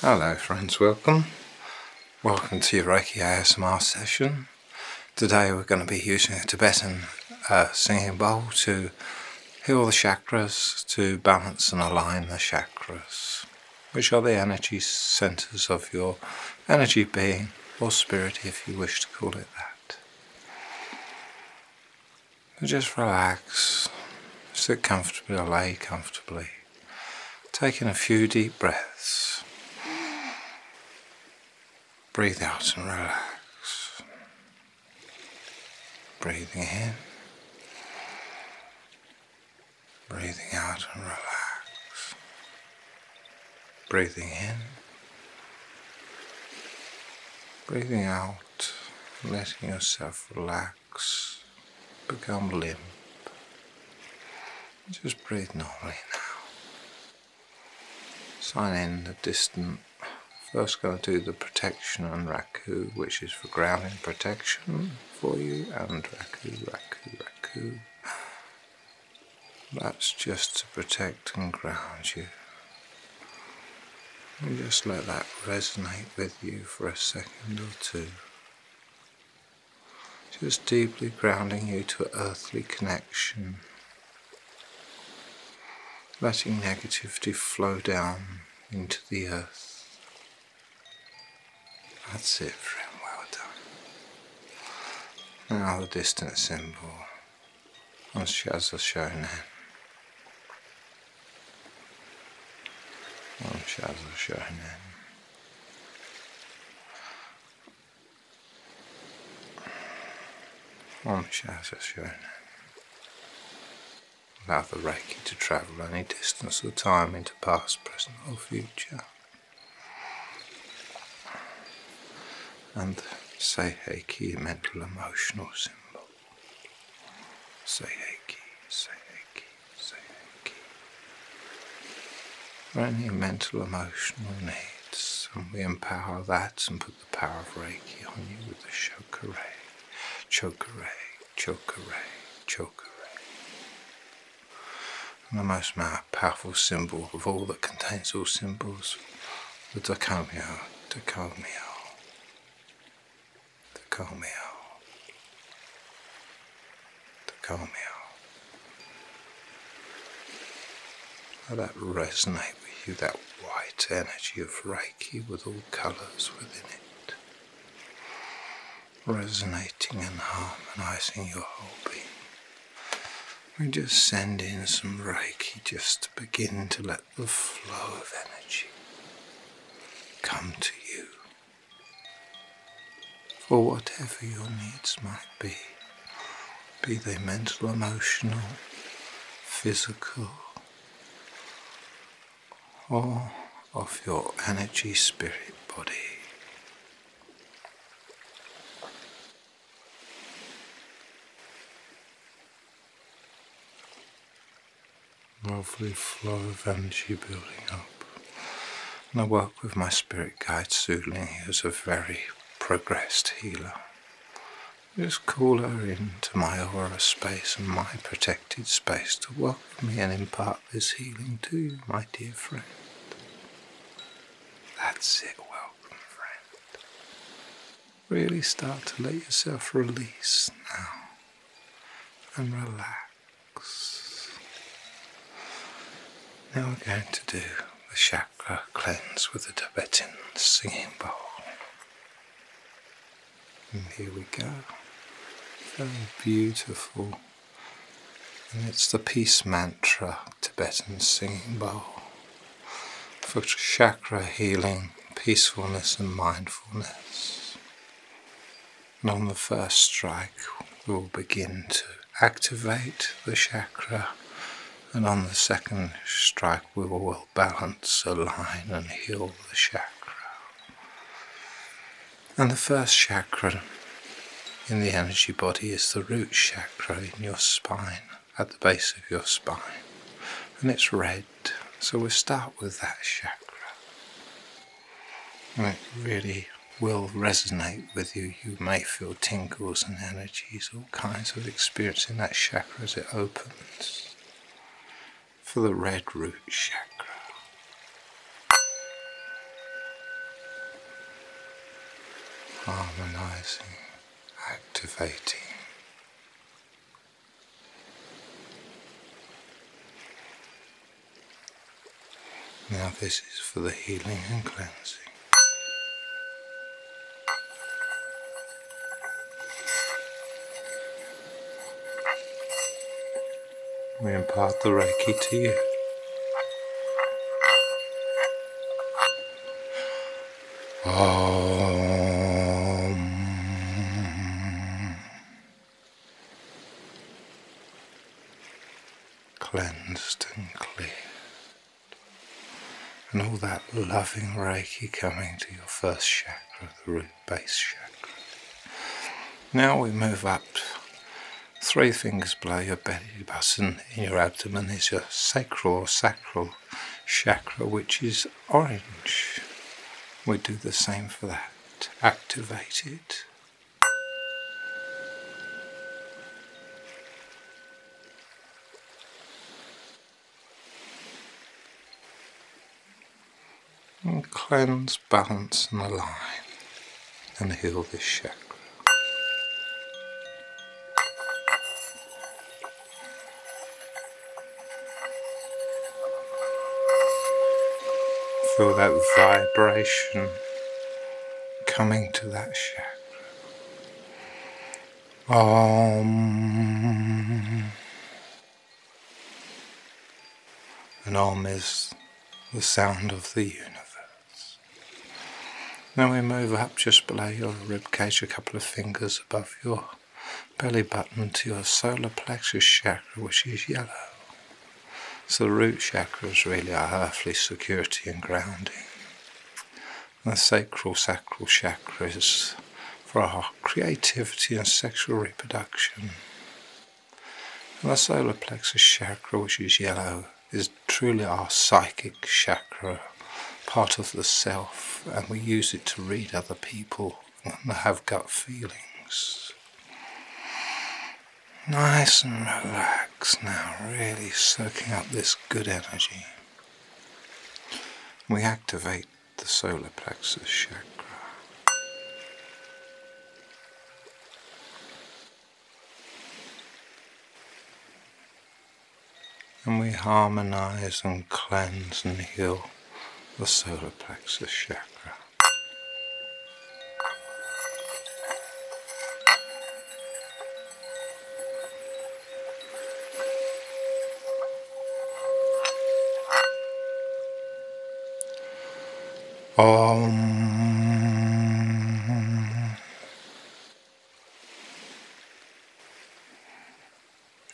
Hello friends, welcome. Welcome to your Reiki ASMR session. Today we're going to be using a Tibetan uh, singing bowl to heal the chakras, to balance and align the chakras, which are the energy centers of your energy being, or spirit if you wish to call it that just relax, sit comfortably or lay comfortably, taking a few deep breaths. Breathe out and relax. Breathing in, breathing out and relax. Breathing in, breathing out, letting yourself relax become limp. Just breathe normally now. Sign in the distant. First going to do the protection and Raku, which is for grounding protection for you, and Raku, Raku, Raku. That's just to protect and ground you just let that resonate with you for a second or two. Just deeply grounding you to earthly connection. Letting negativity flow down into the earth. That's it, friend. Well done. Now the distant symbol of Shazashonan. Shah's Shahnan. Om Shah's Shahnan. Allow the Reiki to travel any distance or time into past, present, or future. And say Heiki, mental, emotional symbol. Sayaki, Sayaki, Sayaki. There are only mental, emotional needs, and we empower that and put the power of Reiki on you with the Shokurei, Chokurei, Chokurei, Chokurei. And the most powerful symbol of all that contains all symbols, the Dakamyo, Dakamyo the Comeo, the Comeo. Let that resonate with you, that white energy of Reiki with all colours within it, resonating and harmonising your whole being. We just send in some Reiki just to begin to let the flow of energy come to you for whatever your needs might be, be they mental, emotional, physical, or of your energy, spirit, body lovely flow of energy building up. And I work with my spirit guide Suling, who's a very progressed healer. Just call her into my aura space and my protected space to welcome me and impart this healing to you, my dear friend. That's it, welcome friend. Really start to let yourself release now and relax. Now we're going to do the chakra cleanse with the Tibetan singing bowl. here we go. Very beautiful. And it's the peace mantra Tibetan singing bowl for chakra healing peacefulness and mindfulness. And on the first strike, we will begin to activate the chakra, and on the second strike, we will balance, align, and heal the chakra. And the first chakra in the energy body is the root chakra in your spine, at the base of your spine, and it's red. So we'll start with that chakra. it really will resonate with you. You may feel tingles and energies, all kinds of experience in that chakra as it opens. For the red root chakra. Harmonizing, activating. Now this is for the healing and cleansing. We impart the Reiki to you. Om. Cleansed and cleared. And all that loving Reiki coming to your first chakra, the root base chakra. Now we move up. Three fingers below your belly button in your abdomen is your sacral sacral chakra, which is orange. We do the same for that. Activate it. And cleanse, balance, and align, and heal this chakra. Feel that vibration coming to that chakra. Om. And Om is the sound of the universe. Now we move up just below your ribcage, a couple of fingers above your belly button to your solar plexus chakra, which is yellow. So the root chakra is really our earthly security and grounding. the sacral sacral chakra is for our creativity and sexual reproduction. And the solar plexus chakra, which is yellow, is truly our psychic chakra, part of the self, and we use it to read other people and have gut feelings. Nice and relaxed now, really soaking up this good energy. We activate the solar plexus chakra and we harmonize and cleanse and heal the solar plexus chakra. Om.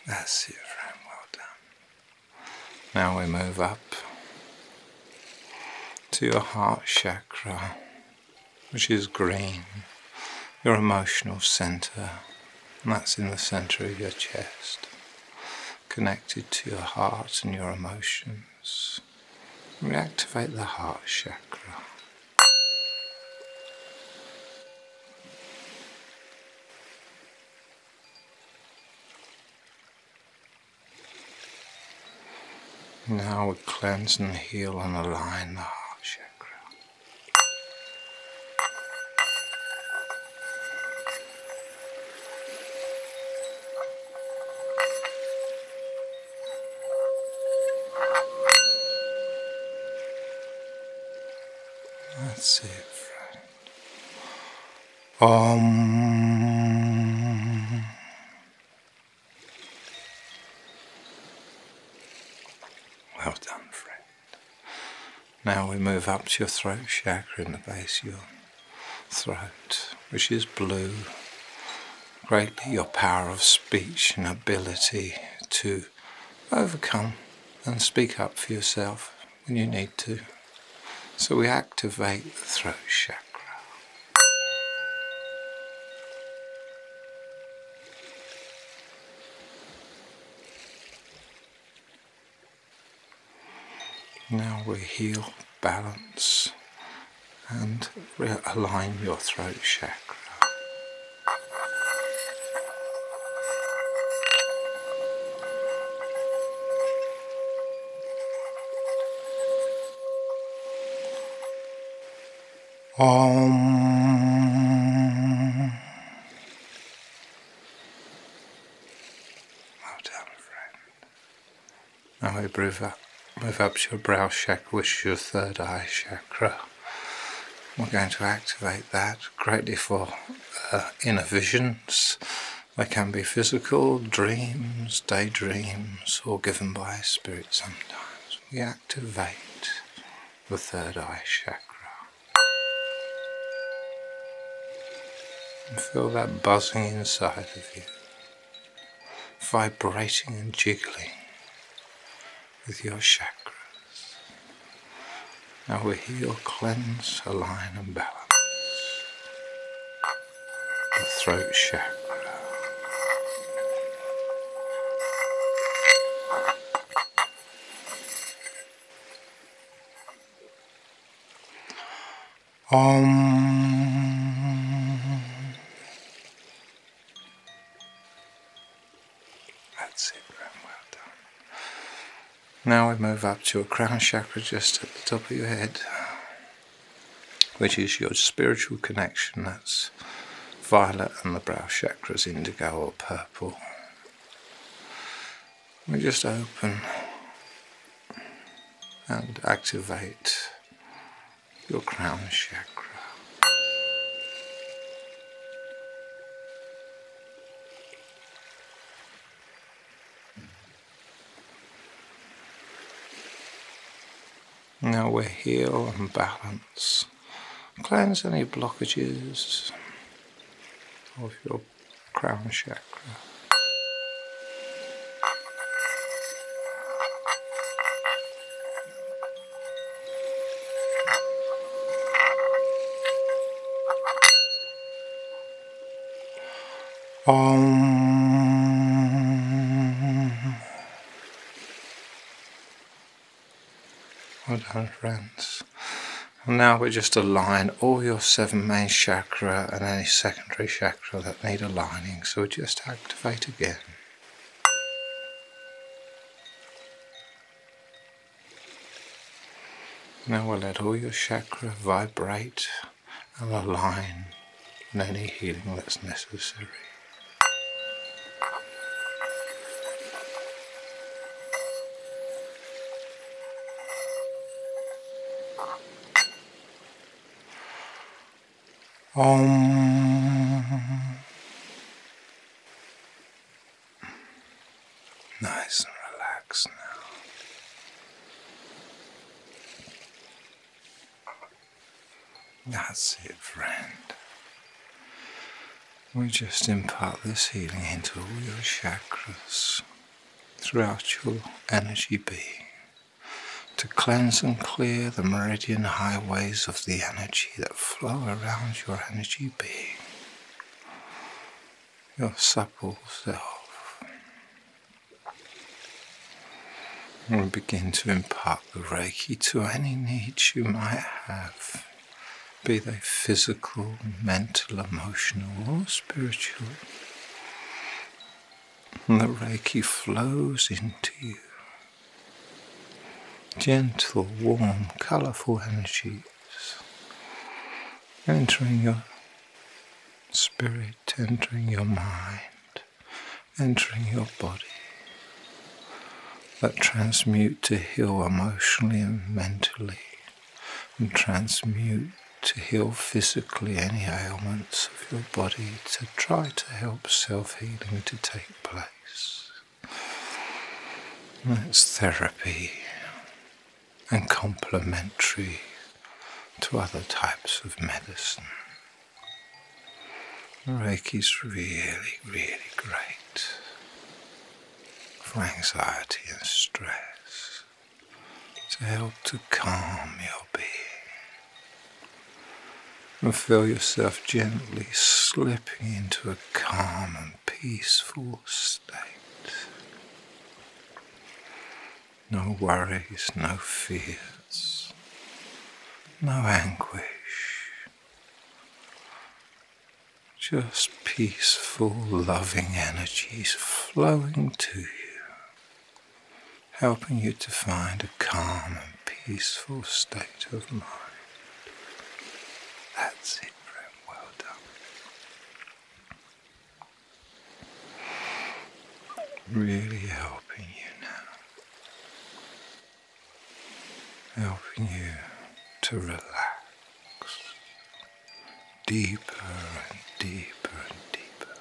That's you, friend, well done. Now we move up to your heart chakra, which is green, your emotional center, and that's in the center of your chest, connected to your heart and your emotions. Reactivate the heart chakra. Now we cleanse and heal and align the heart chakra. That's it different. Om. Um, well done, friend. Now we move up to your throat chakra in the base of your throat, which is blue. Greatly your power of speech and ability to overcome and speak up for yourself when you need to. So we activate the throat chakra. Now we heal, balance, and realign your throat chakra. Um, well done, friend. Now we move up, move up your brow check, which your third eye check. We're going to activate that greatly for uh, inner visions. They can be physical, dreams, daydreams, or given by spirit sometimes. We activate the third eye chakra. And feel that buzzing inside of you, vibrating and jiggling with your chakras. Now we heal, cleanse, align, and balance the throat chakra. Om. That's it, well done. Now we move up to a crown chakra just at the top of your head, which is your spiritual connection. That's violet and the brow chakras, indigo or purple. We just open and activate your crown chakra. Now we're heel and balance. Cleanse any blockages of your crown chakra. Um, well friends. Now we just align all your seven main chakra and any secondary chakra that need aligning. So we just activate again. Now we'll let all your chakra vibrate and align in any healing that's necessary. Om. Nice and relaxed now. That's it, friend. We just impart this healing into all your chakras throughout your energy being to cleanse and clear the meridian highways of the energy that flow around your energy being your supple self will begin to impart the Reiki to any needs you might have, be they physical, mental, emotional, or spiritual. the Reiki flows into you gentle, warm, colourful energies entering your spirit, entering your mind, entering your body that transmute to heal emotionally and mentally, and transmute to heal physically any ailments of your body, to try to help self healing to take place. It's therapy and complementary to other types of medicine. Reiki is really, really great for anxiety and stress to help to calm your being and feel yourself gently slipping into a calm and peaceful state. No worries, no fears, no anguish. Just peaceful, loving energies flowing to you, helping you to find a calm and peaceful state of mind. That's it, friend. Well done. Really helping you now. Helping you to relax deeper and deeper and deeper.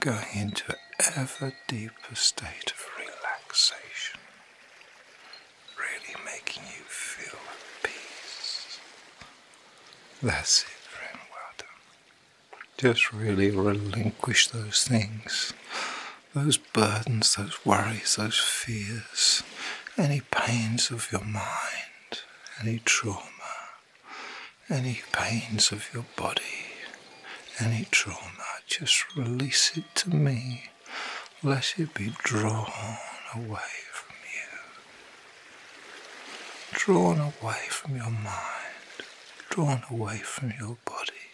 Going into ever deeper state of relaxation really making you feel peace. That's it, friend. Well Just really relinquish those things, those burdens, those worries, those fears, any pains of your mind, any trauma, any pains of your body, any trauma. Just release it to me lest it be drawn away from you, drawn away from your mind, drawn away from your body,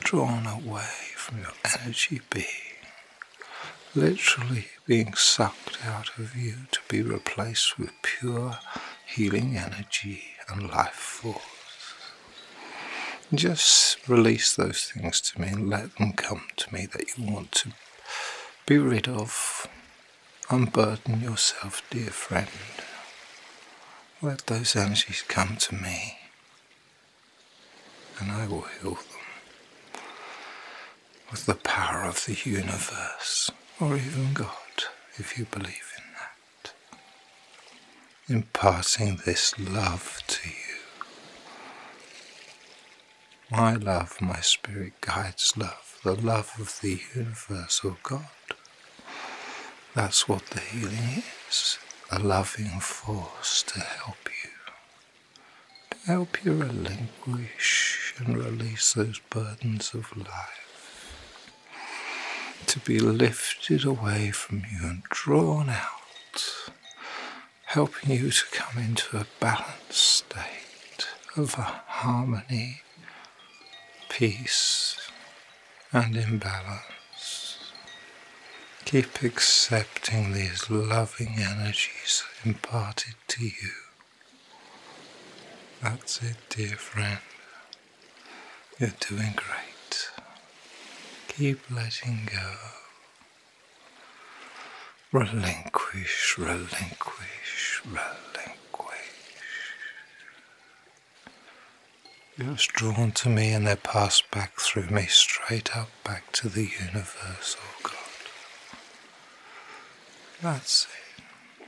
drawn away from your energy being, literally being sucked out of you to be replaced with pure healing energy and life force. Just release those things to me and let them come to me that you want to be rid of. Unburden yourself, dear friend. Let those energies come to me and I will heal them with the power of the universe or even God if you believe in that. Imparting this love to you. My love, my spirit guides love, the love of the universal God. That's what the healing is a loving force to help you, to help you relinquish and release those burdens of life, to be lifted away from you and drawn out helping you to come into a balanced state of harmony, peace, and imbalance. Keep accepting these loving energies imparted to you. That's it, dear friend. You're doing great. Keep letting go. Relinquish, relinquish, relinquish. It was drawn to me and they passed back through me, straight up back to the universe, oh God. That's it.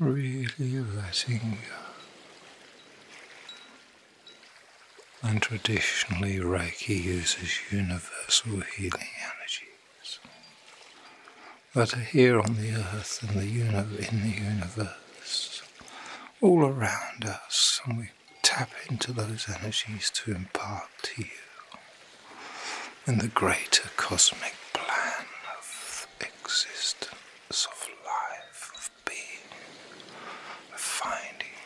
Really letting go. And traditionally, Reiki uses universal healing energies that are here on the earth and the uni- in the universe, all around us, and we tap into those energies to impart to you in the greater cosmic plan of existence, of life, of finding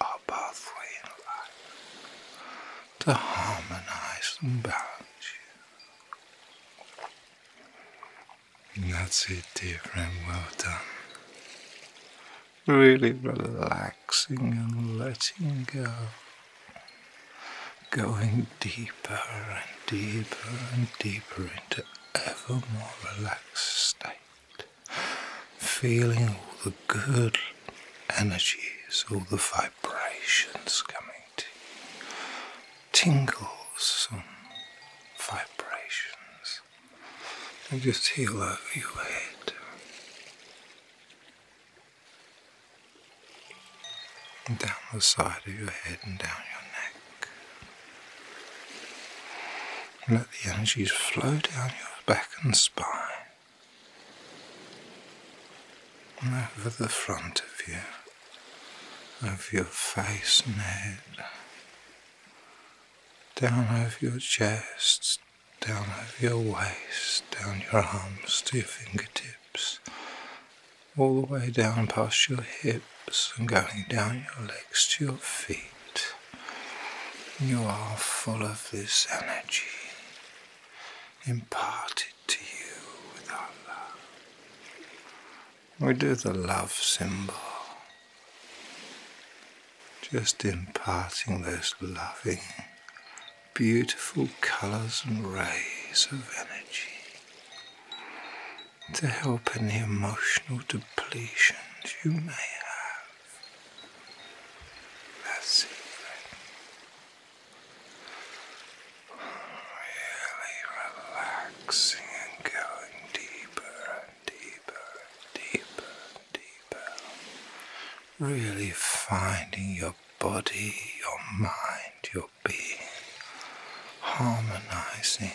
our pathway in life to harmonize and you. that's it, different friend. Well done. Really relaxing and letting go. Going deeper and deeper and deeper into ever more relaxed state feeling all the good energies, all the vibrations coming to you, tingles and vibrations, and just feel over your head. And down the side of your head and down your neck. Let the energies flow down your back and spine over the front of you, over your face and head, down over your chest, down over your waist, down your arms to your fingertips, all the way down past your hips hips and going down your legs to your feet. You are full of this energy imparted to you with our love. We do the love symbol, just imparting those loving, beautiful colors and rays of energy to help any emotional depletion you may have. That's it. Really relaxing and going deeper and deeper and deeper and deeper. Really finding your body, your mind, your being harmonizing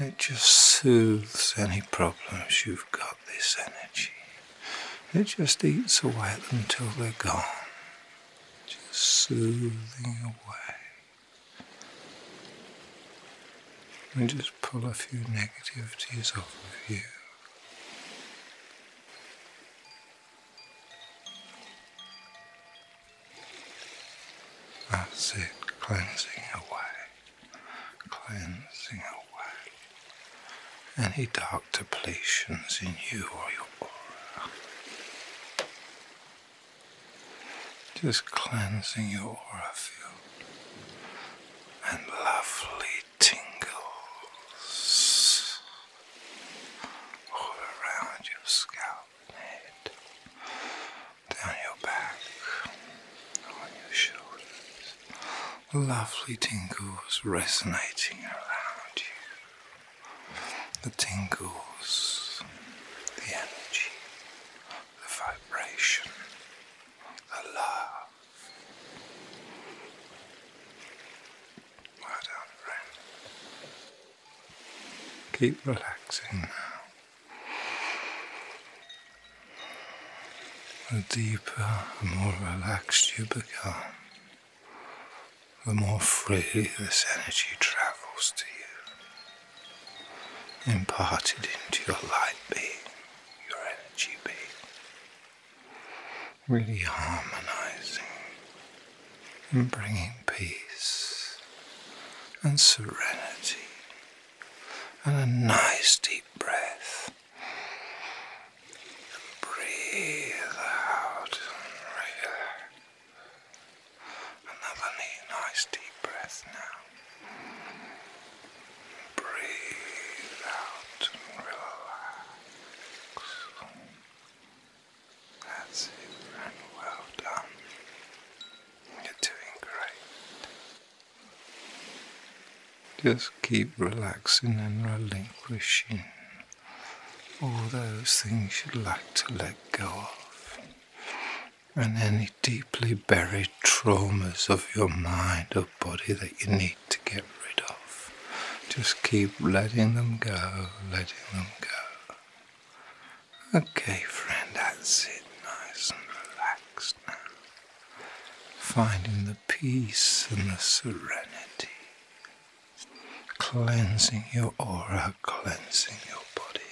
it just soothes any problems you've got, this energy. It just eats away at them till they're gone. Just soothing away. And just pull a few negativities off of you. I it, cleansing away, cleansing away any dark depletions in you or your aura. Just cleansing your aura field and lovely tingles all around your scalp down your back, on your shoulders. Lovely tingles resonating around you. The tingles, the energy, the vibration, the love. Well done, friend. Keep relaxing hmm. now. The deeper, and more relaxed you become, the more freely this energy travels to you, imparted into your light being, your energy being, really harmonizing and bringing peace and serenity and a nice deep breath. Breathe out and relax. Another nice deep breath now. Breathe out and relax. That's it, well done. You're doing great. Just keep relaxing and relinquishing all those things you'd like to let go of, and any deeply buried traumas of your mind or body that you need to get rid of. Just keep letting them go, letting them go. Okay, friend, that's it. Nice and relaxed now. Finding the peace and the serenity. Cleansing your aura, cleansing your body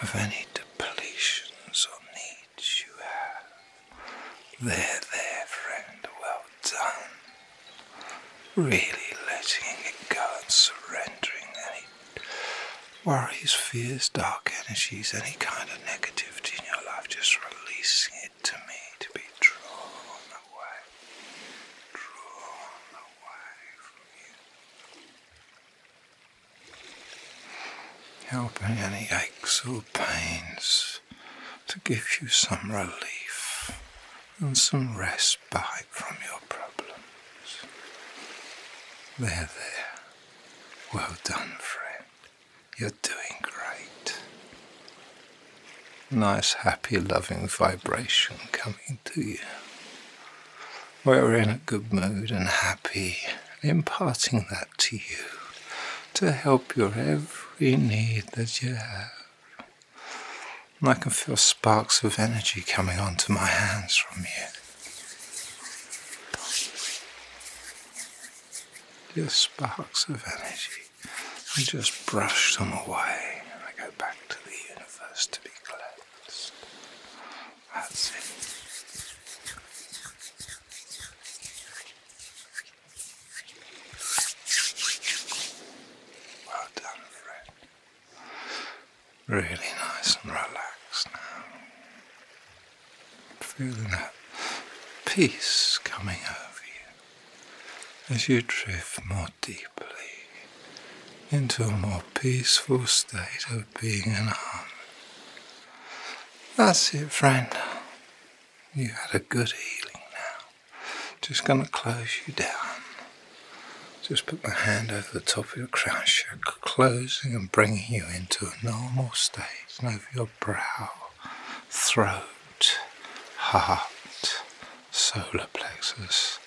of any depletions or needs you have. There, there, friend, well done. Really letting it go and surrendering any worries, fears, dark energies, any kind of negativity in your life, just releasing it to me to be drawn away, drawn away from you. Helping any aches or pains to give you some relief and some rest respite from your problems. There, there. Well done, friend. You're doing great. Nice, happy, loving vibration coming to you. We're in a good mood and happy, imparting that to you to help your every need that you have. And I can feel sparks of energy coming onto my hands from you. Just sparks of energy. I just brush them away and I go back to the universe to be cleansed. That's it. Well done, friend. Really nice and relaxed now. Feeling that peace coming over you as you drift more deeply into a more peaceful state of being in harmony. That's it, friend. You had a good healing now. Just going to close you down. Just put my hand over the top of your crown uh, chakra, closing and bringing you into a normal state. And over your brow, throat, heart, solar plexus,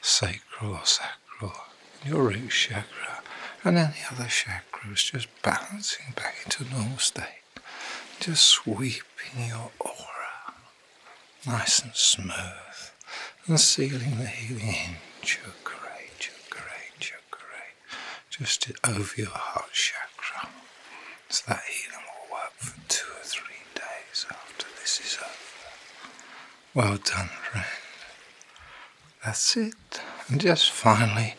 sacral sacral, your root chakra, and any other chakras, just balancing back into normal state. Just sweeping your aura nice and smooth, and sealing the healing in chakra, chakra, chakra, just over your heart chakra. So that healing will work for two or three days after this is over. Well done, friend. That's it. And just finally,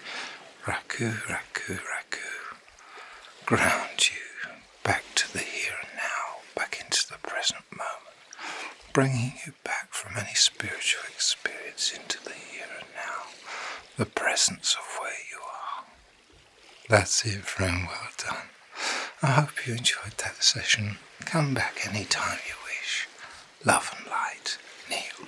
Raku, Raku, Raku, ground you back to the here and now, back into the present moment bringing you back from any spiritual experience into the here and now, the presence of where you are. That's it, friend. Well done. I hope you enjoyed that session. Come back any time you wish. Love and light, Neil.